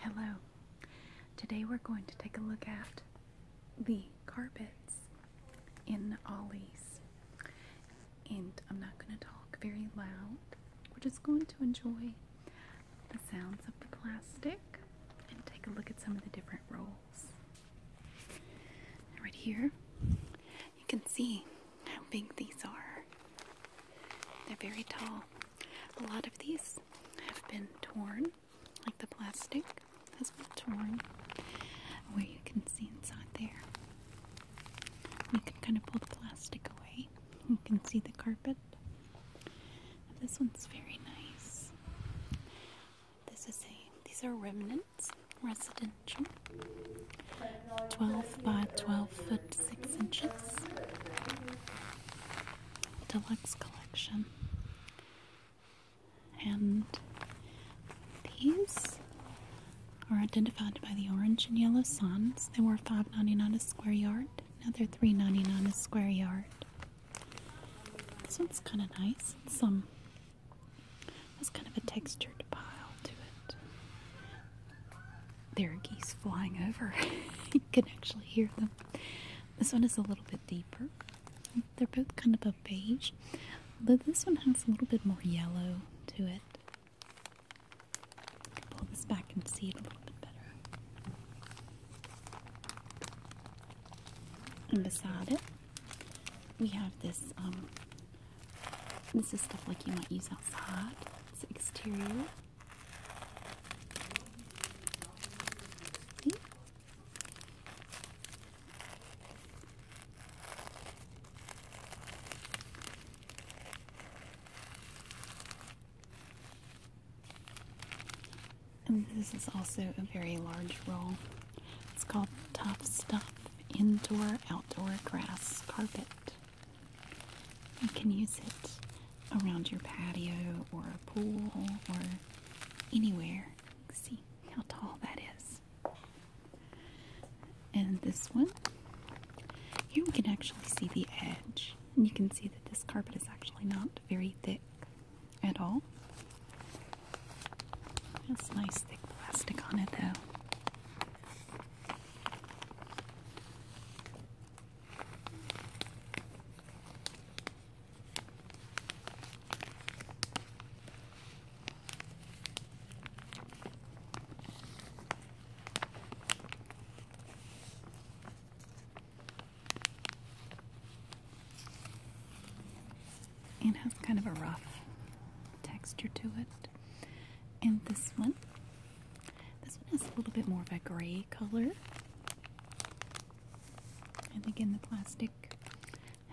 Hello. Today we're going to take a look at the carpets in Ollie's. And I'm not going to talk very loud. We're just going to enjoy the sounds of the plastic and take a look at some of the different rolls. Right here, you can see how big these are. They're very tall. A lot of these have been torn, like the plastic has been torn, where you can see inside there. You can kind of pull the plastic away. You can see the carpet. this one's very nice. This is these are remnants residential. 12 by 12 foot 6 inches deluxe collection. And these are identified by the orange and yellow signs. They were five ninety nine a square yard. Now they are ninety nine a square yard. This one's kind of nice. It's, um, it's kind of a textured pile to it there are geese flying over. you can actually hear them. This one is a little bit deeper. They're both kind of a beige, but this one has a little bit more yellow to it. pull this back and see it a little bit better. And beside it, we have this. Um, this is stuff like you might use outside. It's exterior. And this is also a very large roll. It's called Tough Stuff Indoor Outdoor Grass Carpet. You can use it around your patio or a pool or anywhere. See how tall that is. And this one, here we can actually see the edge. And you can see that this carpet is actually not very thick at all. That's nice thick plastic on it though. It has kind of a rough texture to it. And this one, this one has a little bit more of a gray color. And again, the plastic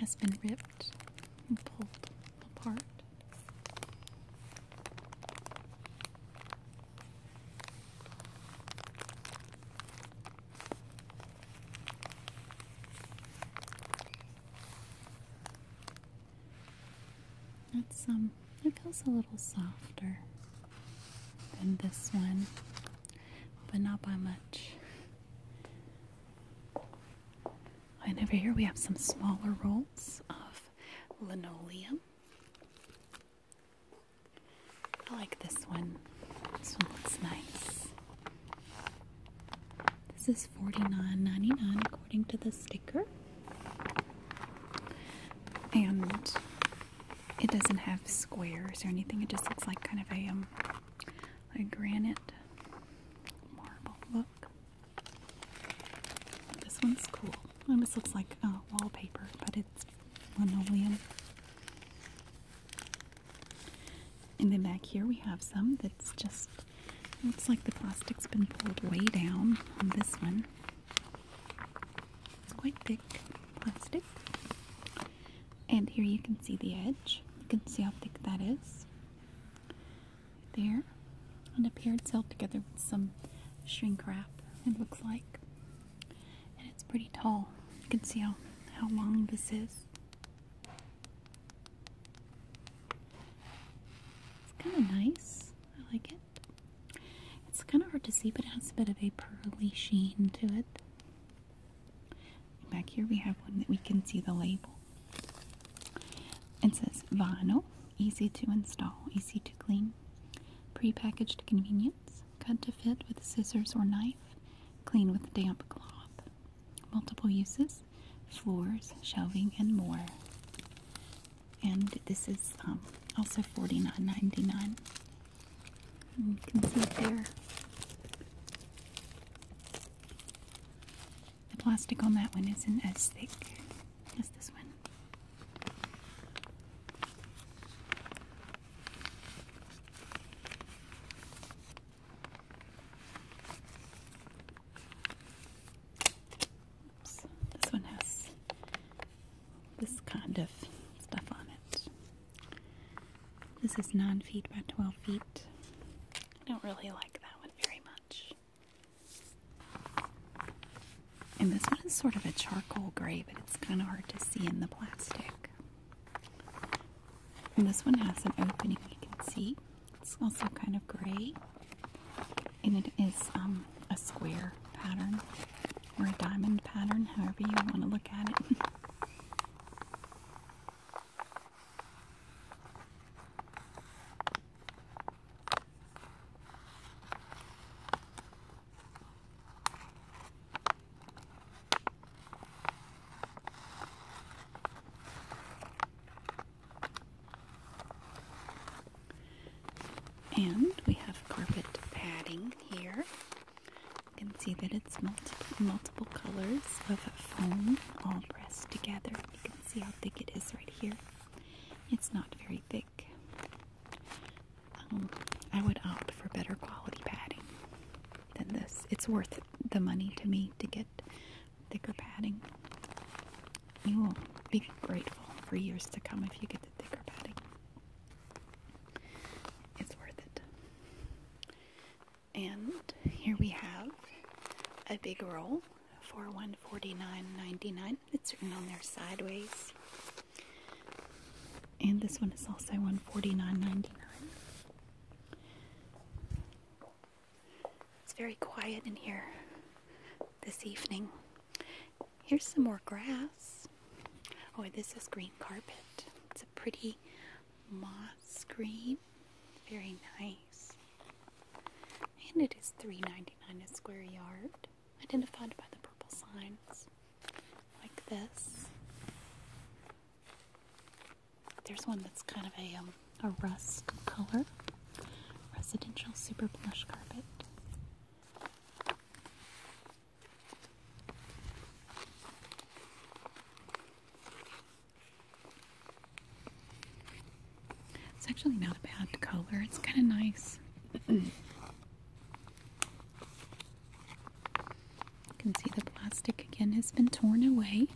has been ripped and pulled apart. That's um it feels a little softer than this one, but not by much. And over here we have some smaller rolls of linoleum. I like this one. This one looks nice. This is forty nine ninety nine, according to the sticker. And it doesn't have squares or anything. It just looks like kind of a um granite marble look. This one's cool. Almost looks like uh, wallpaper, but it's linoleum. And then back here we have some that's just looks like the plastic's been pulled way down on this one. It's quite thick plastic. And here you can see the edge. You can see how thick that is. There. And it paired itself together with some shrink wrap, it looks like. And it's pretty tall. You can see how, how long this is. It's kind of nice. I like it. It's kind of hard to see, but it has a bit of a pearly sheen to it. Back here we have one that we can see the label. It says vinyl, easy to install, easy to clean, prepackaged convenience, cut to fit with scissors or knife, clean with damp cloth, multiple uses, floors, shelving, and more. And this is um, also $49.99 you can see it there. The plastic on that one isn't as thick as this one. Oops, this one has this kind of stuff on it. This is 9 feet by 12 feet. I don't really like that one very much. And this one is sort of a charcoal gray, but it's kind of hard to see in the plastic. And this one has an opening you can see. It's also kind of gray. And it is um, a square pattern or a diamond pattern, however you want to look at it. And we have carpet padding here. You can see that it's multiple, colors of foam all pressed together. You can see how thick it is right here. It's not very thick. Um, I would opt for better quality padding than this. It's worth the money to me to get thicker padding. You will be grateful for years to come if you get the thicker padding. It's worth it. And here we have a big roll for 149 It's written on there sideways. And this one is also one forty nine ninety nine. It's very quiet in here this evening. Here's some more grass. Oh, this is green carpet. It's a pretty moss green. Very nice. And it is $3.99 a square yard. Identified by the purple signs. Like this. There's one that's kind of a, um, a rust color. Residential super plush carpet. It's actually not a bad color. It's kind of nice. you can see the plastic again has been torn away.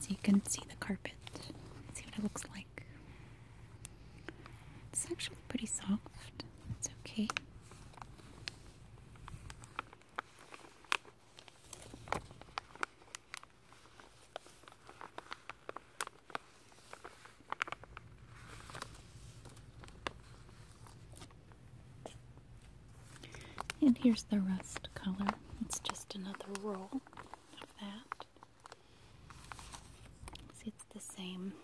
So you can see the carpet. See what it looks like. It's actually pretty soft. That's okay. And here's the rust color. It's just another roll of that. See, it's the same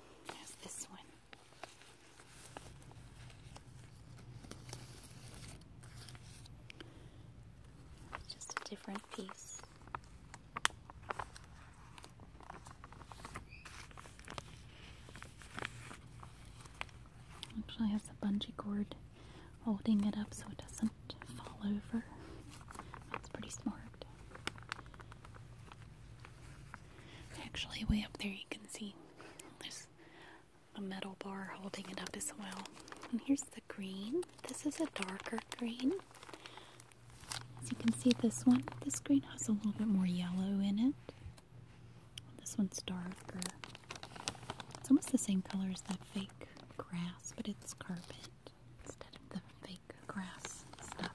as this one just a different piece. Actually has a bungee cord holding it up so it doesn't fall over. That's pretty smart. Actually way up there you can see there's a metal bar holding it up as well. And here's the green. This is a darker green. As you can see, this one, this green has a little bit more yellow in it. This one's darker. It's almost the same color as that fake grass, but it's carpet instead of the fake grass stuff.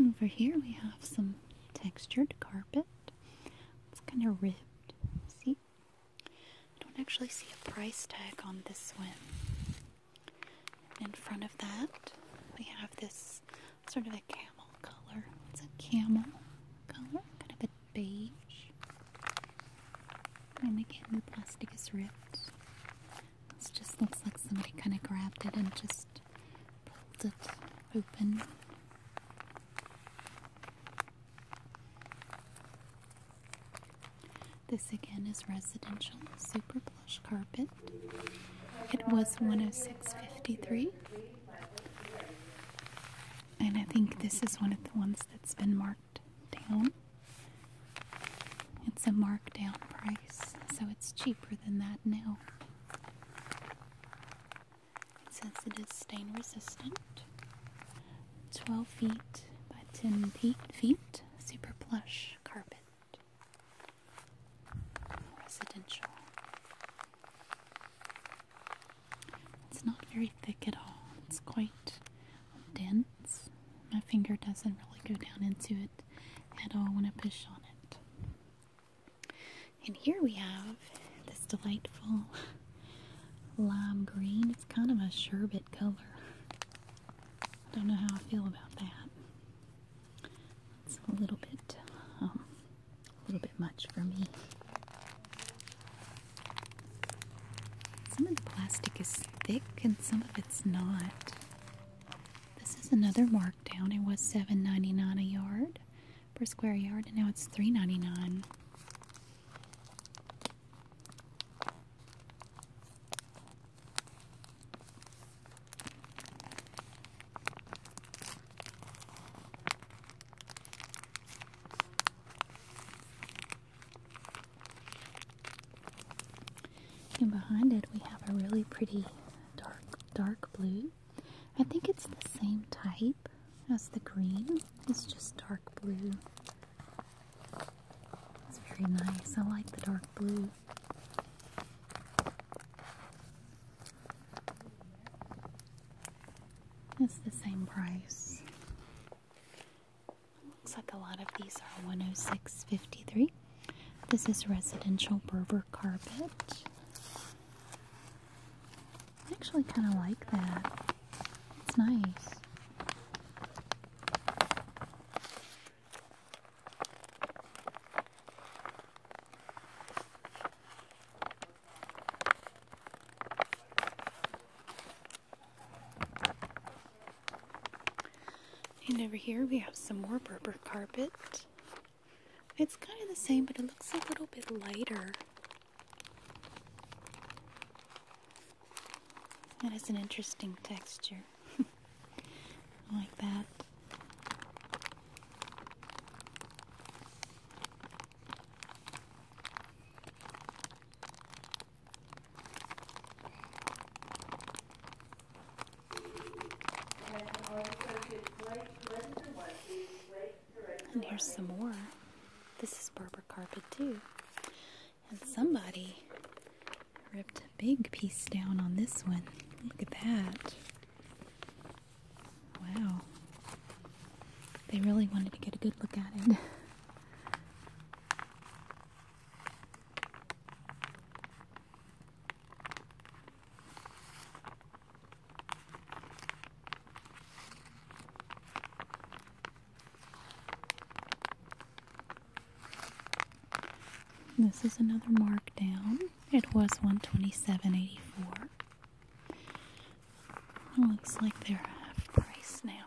Over here we have some textured carpet. It's kind of ripped. See? I don't actually see a price tag on this one. In front of that, we have this sort of a camel color. It's a camel color, kind of a beige. And again, the plastic is ripped. This just looks like somebody kind of grabbed it and just pulled it open. This again is residential super plush carpet. It was 106.53. And I think this is one of the ones that's been marked down. It's a markdown price, so it's cheaper than that now. It says it is stain resistant, 12 feet by 10 feet, feet super plush carpet, residential. It's not very thick at all. It's quite dense. My finger doesn't really go down into it at all when I push on it. And here we have this delightful lime green. It's kind of a sherbet color. I don't know how I feel about that. It's a little bit, um, a little bit much for me. Some of the plastic is thick and some of it's not. This is another markdown. It was $7.99 a yard per square yard and now it's $3.99. And behind it, we have a really pretty dark, dark blue. I think it's the same type as the green. It's just dark blue. It's very nice. I like the dark blue. It's the same price. Looks like a lot of these are 106.53. This is residential Berber carpet. I actually kind of like that. It's nice. And over here we have some more Berber carpet. It's kind of the same, but it looks a little bit lighter. That is an interesting texture. like that. And here's some more. This is Barbara carpet too. And somebody ripped a big piece down on this one. Look at that. Wow. They really wanted to get a good look at it. This is another markdown. It was 127.84. It looks like they're half price now.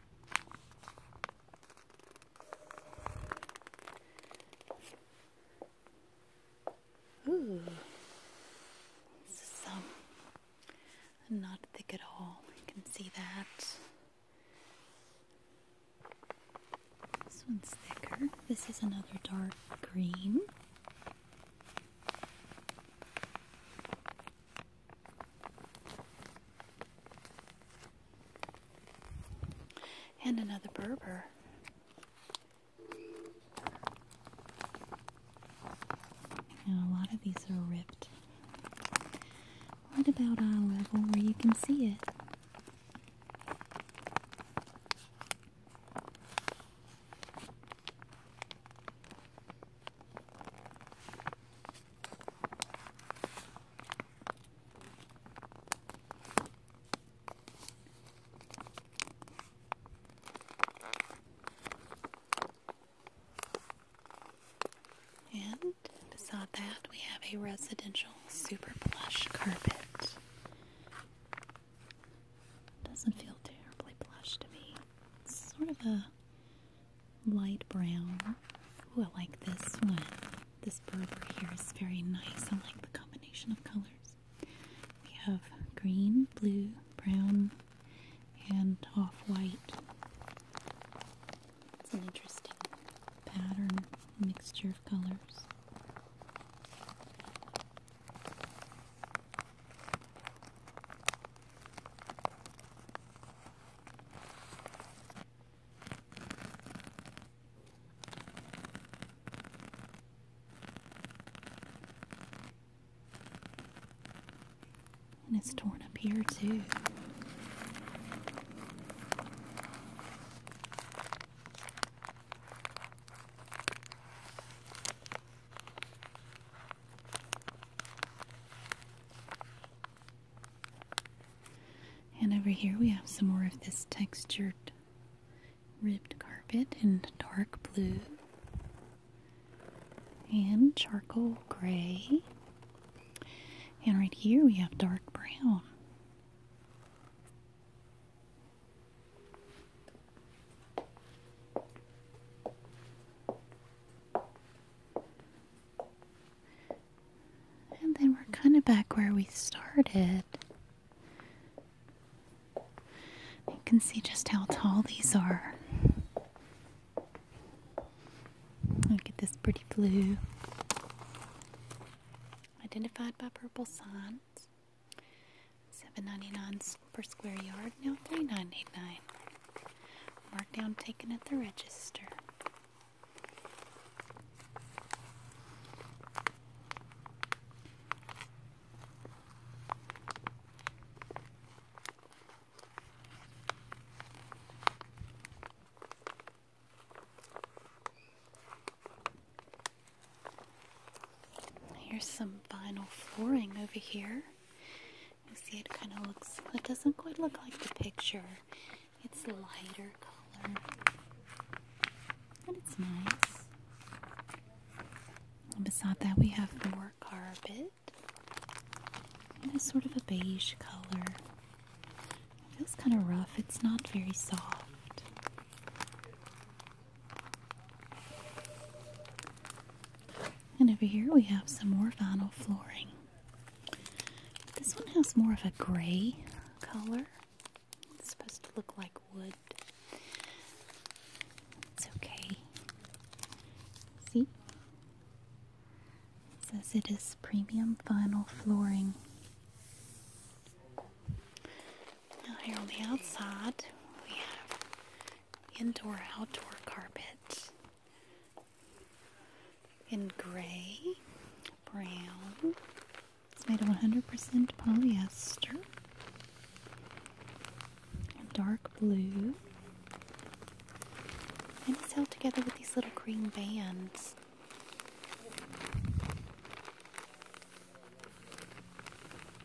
Ooh, this um, not thick at all. You can see that. This one's thicker. This is another dark green. And another Berber. Now, a lot of these are ripped right about eye level where you can see it. And beside that, we have a residential super plush carpet. Doesn't feel terribly plush to me. It's sort of a light brown. Oh, I like this one. This Berber here is very nice. I like the combination of colors. We have green, blue, brown, and off-white. It's an interesting pattern, mixture of colors. And it's torn up here too. And over here we have some more of this textured ribbed carpet in dark blue and charcoal gray. And right here we have dark brown. And then we're kind of back where we started. You can see just how tall these are. Look at this pretty blue. Identified by purple signs. Seven ninety nine per square yard, now three nine eight nine. Markdown taken at the register. Here's some vinyl flooring over here. You see, it kind of looks, it doesn't quite look like the picture. It's lighter color. And it's nice. And beside that, we have more carpet. And it's sort of a beige color. It feels kind of rough, it's not very soft. And over here we have some more vinyl flooring. This one has more of a gray color. It's supposed to look like wood. It's okay. See? says it is premium vinyl flooring. Now, here on the outside, we have indoor outdoor carpet in gray, brown. It's made of 100% polyester. Dark blue. And it's held together with these little green bands.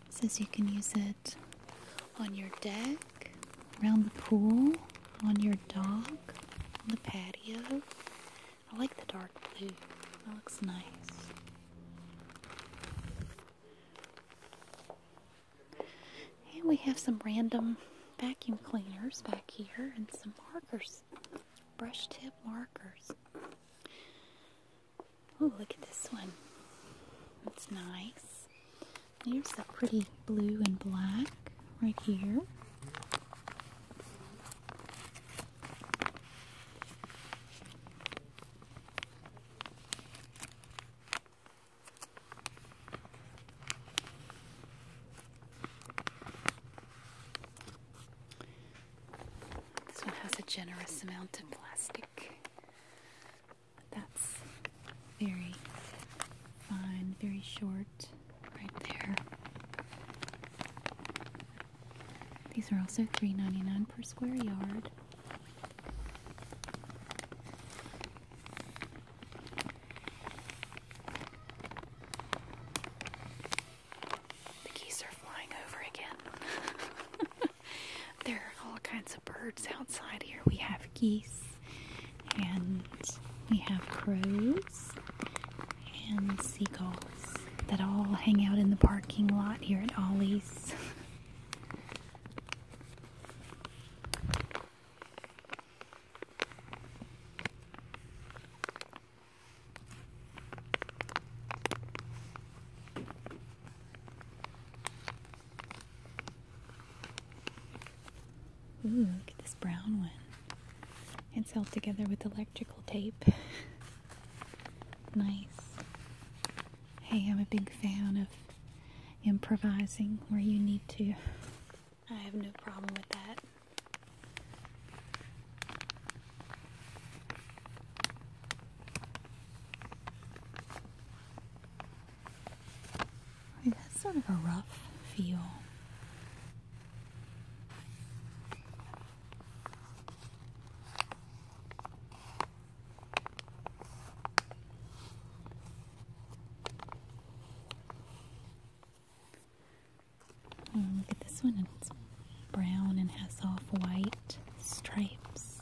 says you can use it on your deck around the pool, on your dog, on the patio. I like the dark blue. That looks nice. And we have some random vacuum cleaners back here and some markers. Brush tip markers. Oh, look at this one. That's nice. There's the pretty blue and black right here. This one has a generous amount of plastic. That's very fine, very short, right there. These are also three ninety nine per square yard. The geese are flying over again. there are all kinds of birds outside here. We have geese and we have crows and seagulls that all hang out in the parking lot here at Ollie's. Ooh, look at this brown one. It's held together with electrical tape. nice. Hey, I'm a big fan of improvising where you need to. I have no problem with that that's sort of a rough feel. Um, look at this one. It's brown and has off-white stripes.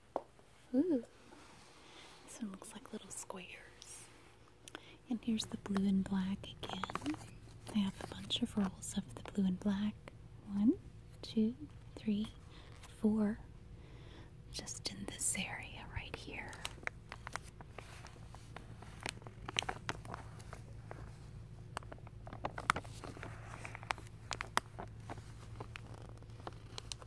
Ooh. This one looks like little squares. And here's the blue and black again. I have a bunch of rolls of the blue and black. One, two, three, four. Just in this area right here.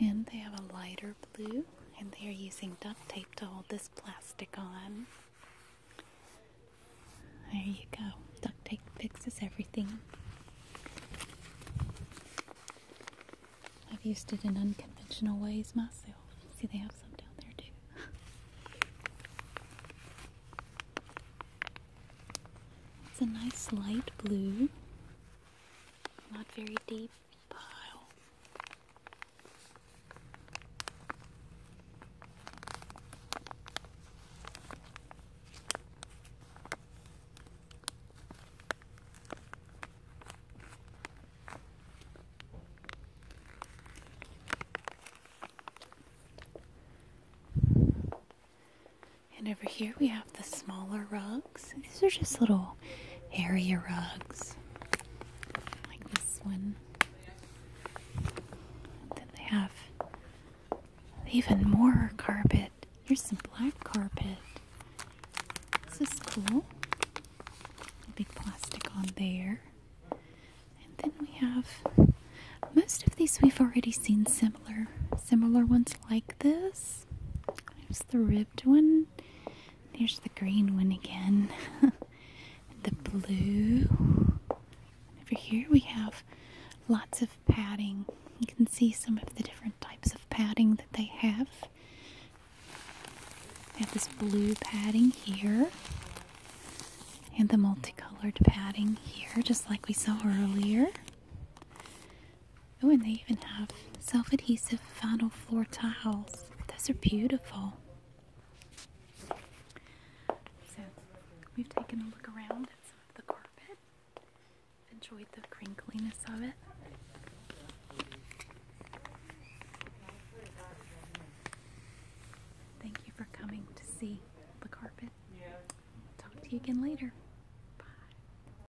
And they have a lighter blue, and they're using duct tape to hold this plastic on. There you go. Duct tape fixes everything. I've used it in unconventional ways myself. See, they have some down there too. it's a nice light blue not very deep pile. And over here we have the smaller rugs. These are just little area rugs, like this one. then they have even more carpet. Here's some black carpet. This is cool. A big plastic on there. And then we have most of these we've already seen similar similar ones like this the ribbed one. There's the green one again. the blue. Over here we have lots of padding. You can see some of the different types of padding that they have. They have this blue padding here and the multicolored padding here, just like we saw earlier. Oh, and they even have self adhesive vinyl floor tiles. Those are beautiful. So, we've taken a look around at some of the carpet, enjoyed the crinkliness of it. Thank you for coming to see the carpet. Talk to you again later.